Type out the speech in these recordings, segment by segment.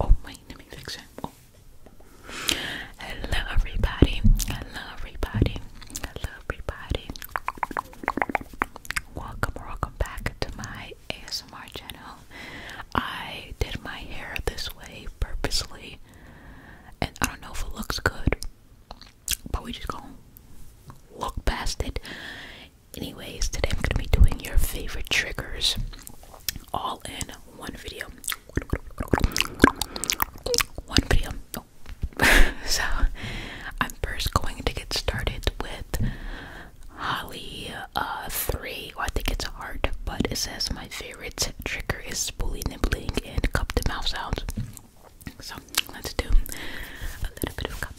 Oh wait, let me fix it. Oh. Hello everybody. Hello everybody. Hello everybody. Welcome welcome back to my ASMR channel. I did my hair this way purposely and I don't know if it looks good. But we just gonna look past it Anyways, today I'm gonna be doing your favorite triggers all in one video. One video. so I'm first going to get started with Holly uh, three. I think it's hard, but it says my favorite trigger is spoolie nibbling and cup to mouth sounds. So let's do a little bit of cupping.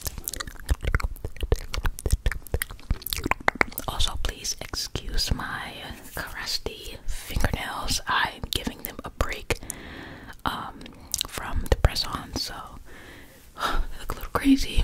Also, please excuse my crusty fingernails. I'm giving them a break um, from the press on, so they look a little crazy.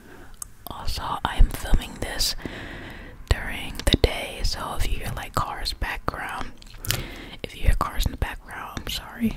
Also, I am filming this during the day, so if you hear like cars background, if you hear cars in the background, I'm sorry.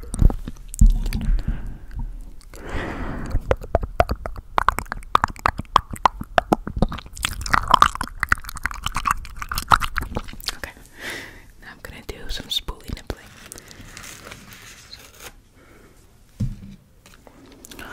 Okay, now I'm gonna do some spoolie nibbling. So.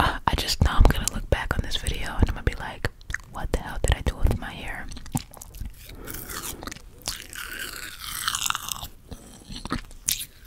Uh, I just know I'm gonna look back on this video and I'm gonna be like, what the hell did I do with my hair?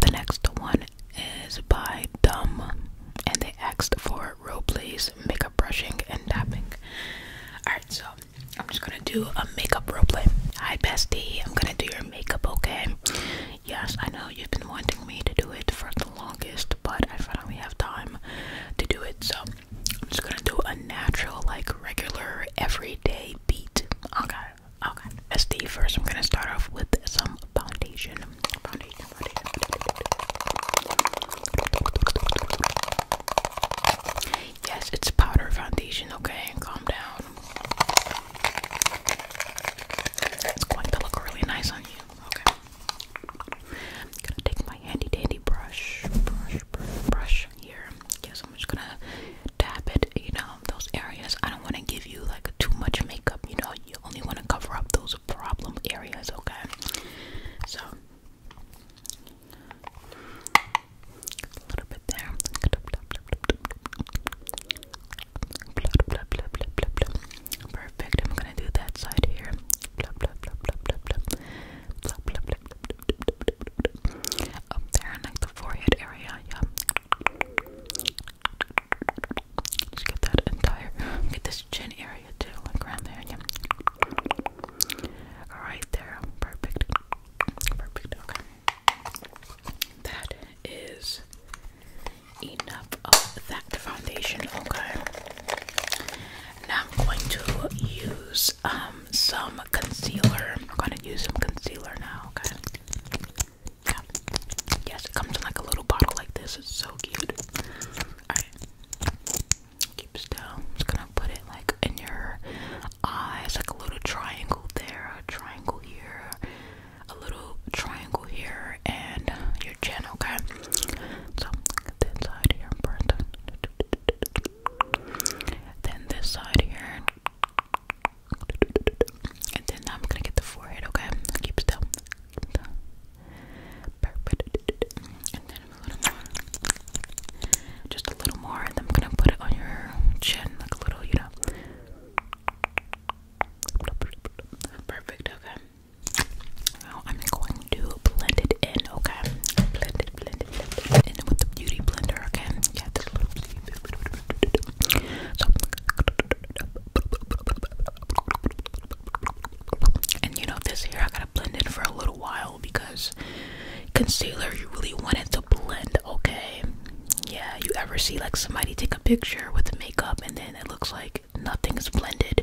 The next one is by Dumb, and they asked for role makeup brushing, and tapping. Alright, so I'm just gonna do a makeup role Hi, bestie, I'm gonna do your makeup, okay? Yes, I know you've been wanting me to do it for the longest, but I finally have time to do it, so I'm just gonna do a natural, like regular, everyday beat. Okay, okay. As the first, I'm gonna start off with some foundation. foundation. Yes, it's powder foundation. Okay, calm down. It's going to look really nice on you. Okay. I'm gonna take my handy dandy brush, brush, brush, brush here. Yes, I'm just gonna tap it, you know, those areas. I don't wanna give you like too much makeup, you know, you only wanna cover up those problem areas, okay? So a little bit there. Perfect. I'm gonna do that side here. Up there in like the forehead area, yeah. Just get that entire, get this chin area too, like around there, yeah. All right, there, perfect, perfect. Okay, that is enough of that foundation. Okay, now I'm going to use um, some concealer. I'm going to use some concealer now, okay? Yes, it comes in like a little bottle like this. It's so cute. Alright. Keep still. i just going to put it like in your eyes, like a little triangle there, a triangle here, a little triangle here, and your chin, okay? So, this side here first. Then this side here. And then I'm gonna get the forehead, okay? Keep still. Perfect. And then Just a little more, and I'm gonna put it on your chin, like a little, you know. Perfect, okay. Now I'm going to blend it in, okay? Blend it, blend it, blend it in with the beauty blender, okay? Yeah, this little beauty blender. So, and you know, this here I gotta blend in for a little while because concealer, you really want it to blend, okay? Yeah, you ever see like somebody take a picture with makeup and then it looks like nothing's blended?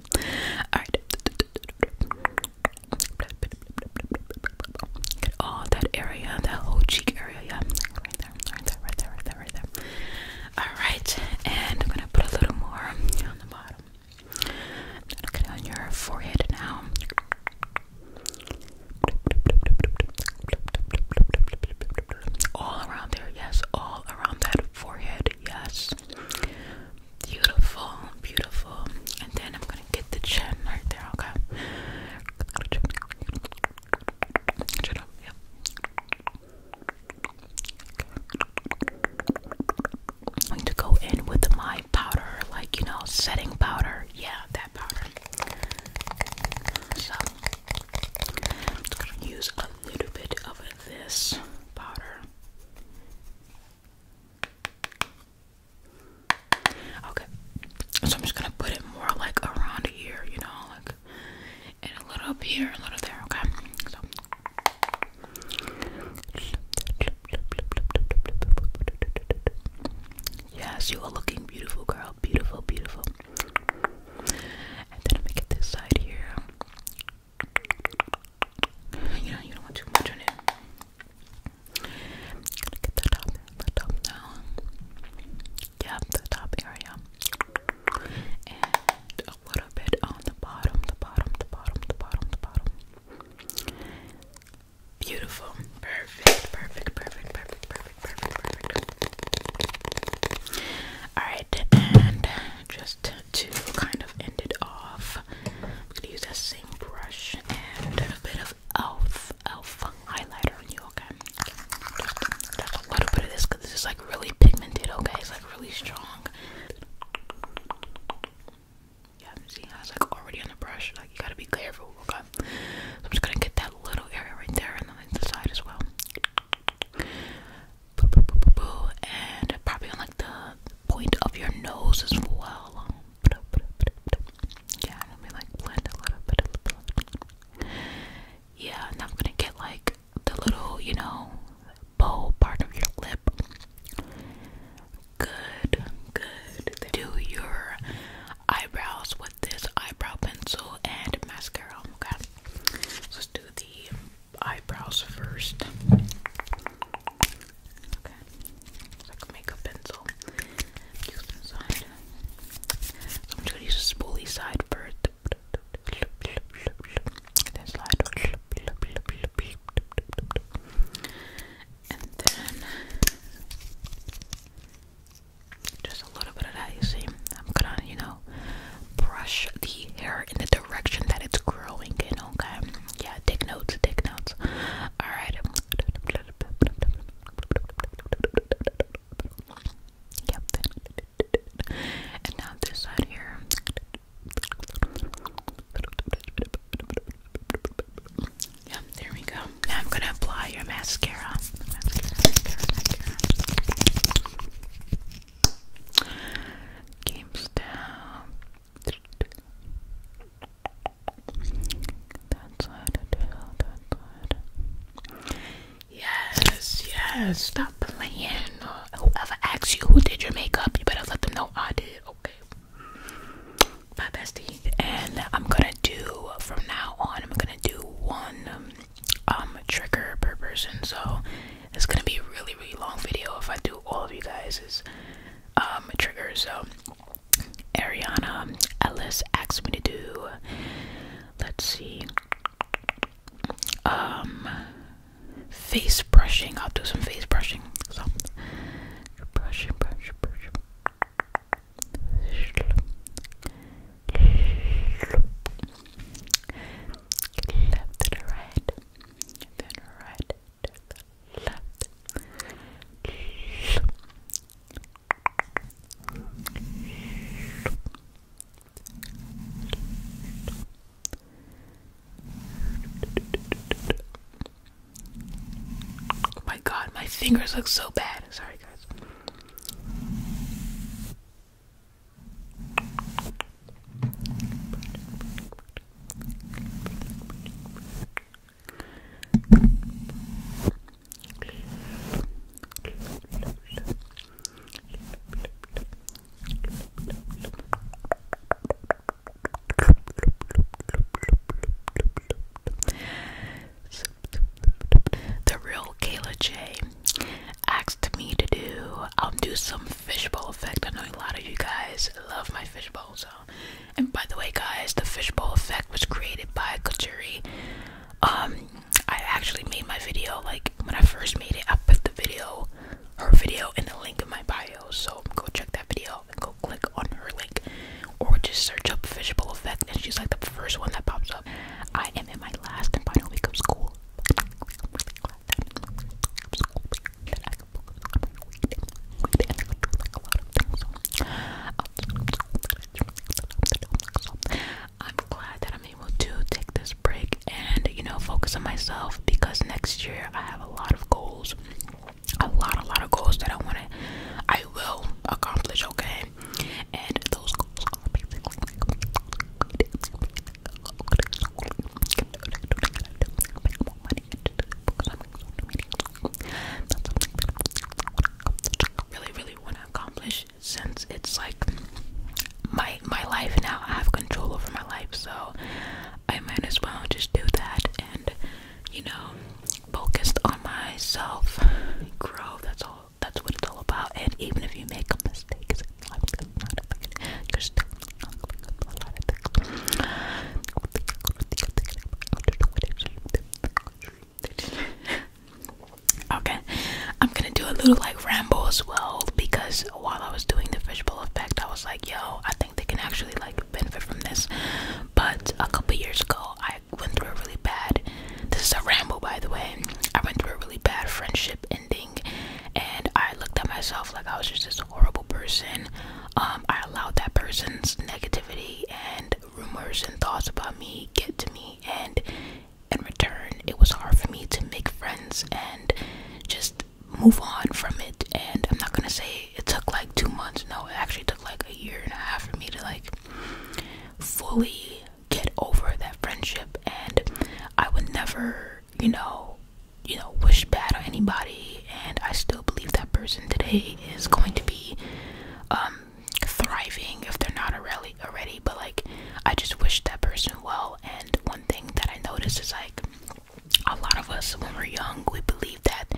Alright. Get oh, all that area, that whole cheek area, yeah. Right there, right there, right there, right there, right there. Alright, and I'm gonna put a little more on the bottom. Look at on your forehead now. All around there, yes. All around that forehead, yes. Beautiful, beautiful. And then I'm gonna get the chin right there, okay? I'm going to go in with my powder, like you know, setting powder. Yeah, that powder. So I'm just gonna use a a little bit of this powder. Okay, so I'm just gonna put it more like around here, you know, like and a little here, a little there. Okay, Yes, you are looking beautiful, girl. Beautiful, beautiful. And then I'm get this side here. You know, you don't want too much on it. I'm gonna get the top, the top now. Yep, the top area. And a little bit on the bottom, the bottom, the bottom, the bottom, the bottom. Beautiful. Perfect, perfect, perfect, perfect, perfect, perfect, perfect. Alright, and just to kind of end it off, I'm gonna use that same brush and a bit of elf elf highlighter on you, okay? Just, a little bit of this this is like really pigmented, okay? It's like really strong. Yeah, see how it's like already on the brush, like you gotta be careful, okay? I'm just gonna get that little area right there and then the side as well and probably on like the point of your nose as well. Yeah, let me like blend a little bit. Yeah, and I'm gonna get like the little, you know, bow part of your lip. Good, good. Do your eyebrows with this eyebrow pencil and mascara. Okay, let do the eyebrows first. Okay. It's like a makeup pencil. I'm just gonna use a spoolie side first. Then slide. And then just a little bit of that, you see. I'm gonna, you know, brush the hair in the direction that it's growing okay? Yeah, take notes, take notes. Alright. Yep. And now this side here. Yep, there we go. Now I'm gonna apply your mascara. GameStop. That's what I Yes, yes. Stop playing. Whoever asks you who did your makeup, you better let them know I did. Okay. Bye, bestie. And I'm gonna do from now on. I'm gonna do one um, um trigger per person so it's gonna be a really really long video if I do all of you guys's um triggers so Ariana Ellis asked me to do let's see um face brushing I'll do some face brushing so brushing brushing brushing left right, then right left. Oh my god, my fingers look so bad. Sorry, guys. The real Kayla J asked me to do. I'll do some fishbowl effect. I know a lot of you guys love my fishbowl, so. And by the way, guys, the fishbowl effect was created by Kajuri. Um, I actually made my video like when I first made it. I put the video, her video, in the link in my bio. So go check that video and go click on her link, or just search up fishbowl effect, and she's like the first one that pops up. I am in my last and final week of school, I'm glad that I'm able to take this break and you know focus on myself because next year I have a lot of goals. A lot, a lot of goals that I want to, I will accomplish, okay? And those goals really, really want to accomplish since it's like my my life now. I have control over my life, so I might as well just do that and you know, focused on myself, grow. That's all that's what it's all about. And even if you make a mistake, Okay, I'm gonna do a little like ramble as well because while I was doing the fishbowl effect, I was like, yo, I think they can actually like benefit from this. But a couple years ago, I went through a really bad this is a ramble, by the way. I went through a really bad friendship ending, and I looked at myself like I was just this horrible person. Um, I allowed that person's negativity and rumors and thoughts about me get to me, and in return, it was hard for me to make friends and just move on from it. And I'm not gonna say it took like two months. No, it actually took like a year and a half for me to like fully get over that friendship and I would never, you know, you know, wish bad on anybody and I still believe that person today is going to be um, thriving if they're not already already but like I just wish that person well and one thing that I noticed is like a lot of us when we're young we believe that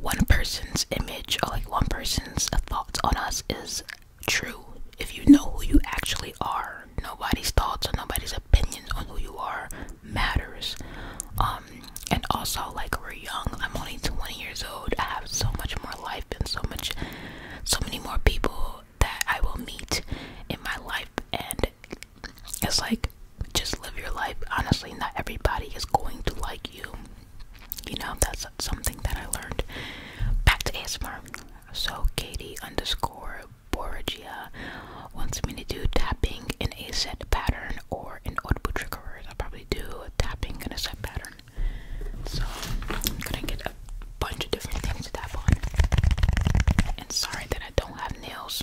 one person's image or like one person's thoughts on us is true if you know who you actually are. Nobody's thoughts or nobody's opinions on who you are matters. Um, and also, like we're young. I'm only 20 years old. I have so much more life and so much, so many more people that I will meet in my life. And it's like just live your life. Honestly, not everybody is going to like you. You know, that's something that I learned. Back to ASMR. So Katie underscore Boragia wants me to do tapping in a set pattern or in audible trigger I'll probably do tapping in a set pattern. So I'm gonna get a bunch of different things to tap on. And sorry that I don't have nails.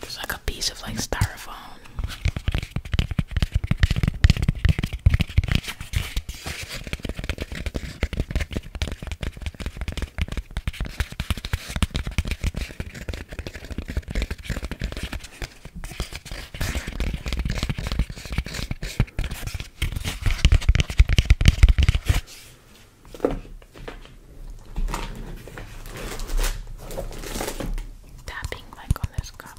There's like a piece of like styrofoam. Tapping like on this cup.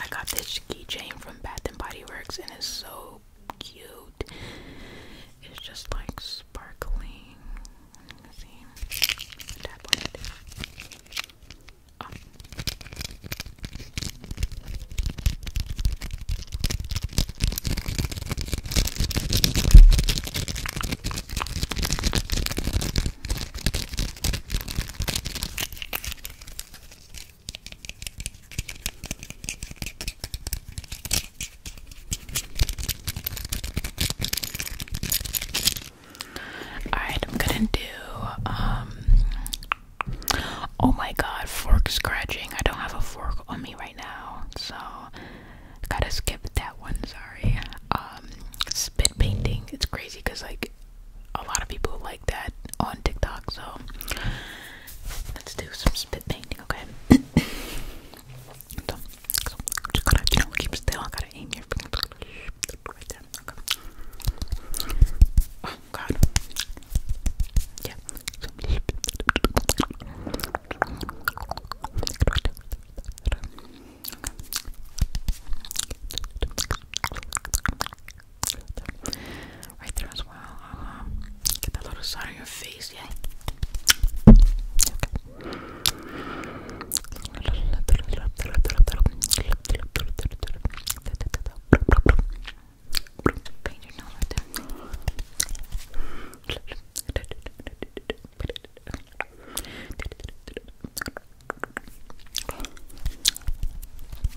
I got this keychain from Bath and Body Works and it's so cute. It's just like sparkling. Alright, I'm gonna do um, oh my god, fork scratching. I don't have a fork on me right now, so gotta skip that one, sorry. Um spit painting. It's crazy because like a lot of people like that on TikTok, so let's do some spit painting, okay? just gotta, you know, keep still. I gotta aim your right there. Okay. God. Yeah. Right there as well. Uh-huh. get that little side on your face, yeah.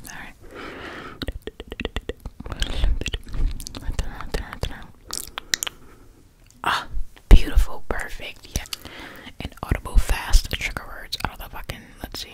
Alright. Ah, beautiful, perfect, yeah. Inaudible, fast, trigger words out of the fucking, let's see.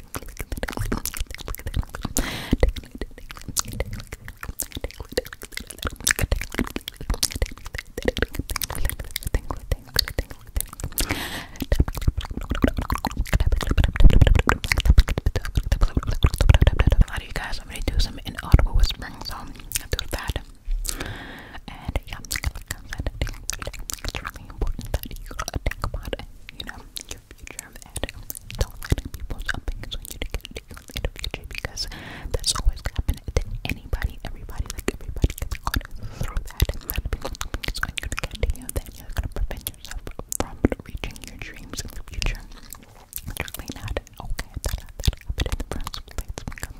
A lot of you guys want me to do some inaudible whispering, so i am do that. And yeah, it's really important that you think about it you know, your future and don't let people's opinions on you to get to you in the future because that's always gonna happen to anybody, everybody, like everybody gets caught through that and let people's opinions on you to get to you then you're gonna prevent yourself from reaching your dreams in the future. Literally not okay, that that happened in the first place because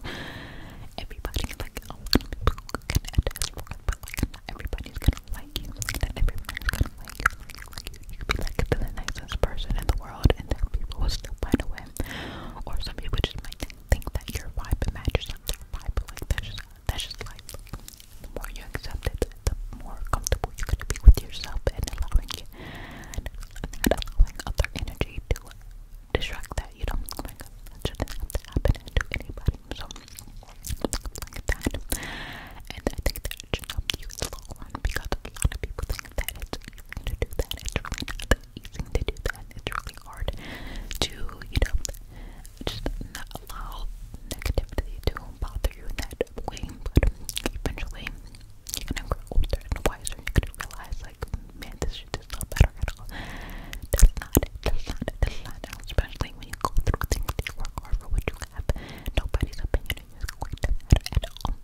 everybody like a lot of people can attest for it, but like not everybody's gonna like you, that everyone's gonna like you, you. You be like the nicest person in the world, and then people will still find a way. Or some people just might think that your vibe matches up their vibe, like that's just that's just life. The more you accept it, the more comfortable you're gonna be with yourself and allowing other energy to distract that. You don't like that happen to anybody. So And I think that it should help you in the long a lot of people think that it's easy to do that. It's really not easy to do that. It's really hard to, you know, just not allow negativity to bother you in that way. But eventually you're gonna grow older and wiser and you're gonna realize like man this shit is not better at all. That's not it, not it, not Especially like when you go through things, you work hard for what you have. Nobody's opinion is going to matter at all.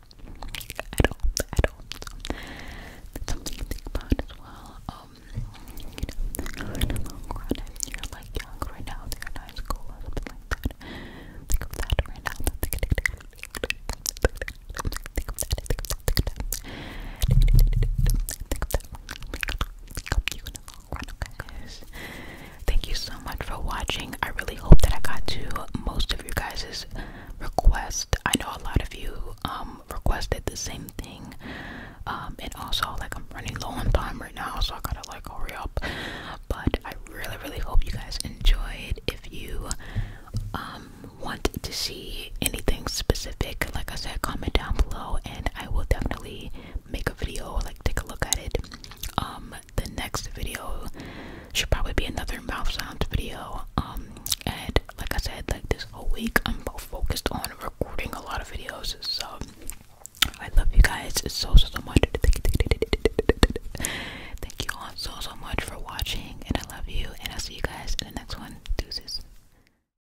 At all. At all. something to think about as well. Um, you know, if you're like young right now, in high school or something like that, think of that right now. Think of that. Think of that. Think of that. Think of that. Think of that. Thank you so much for watching. I really hope that I got to most of you guys' requests. I know a lot of you um requested the same thing. Um and also like I'm running low on time right now, so I gotta like hurry up. But I really, really hope you guys enjoyed. If you um want to see anything specific, like I said, comment down below and I will definitely make a video, like take a look at it. Um, the next video should probably be another mouth sound video. Um, and like I said, like this whole week, I'm focused on recording a lot of videos. So I love you guys so so so much. Thank you all so so much for watching, and I love you. And I'll see you guys in the next one. Deuces.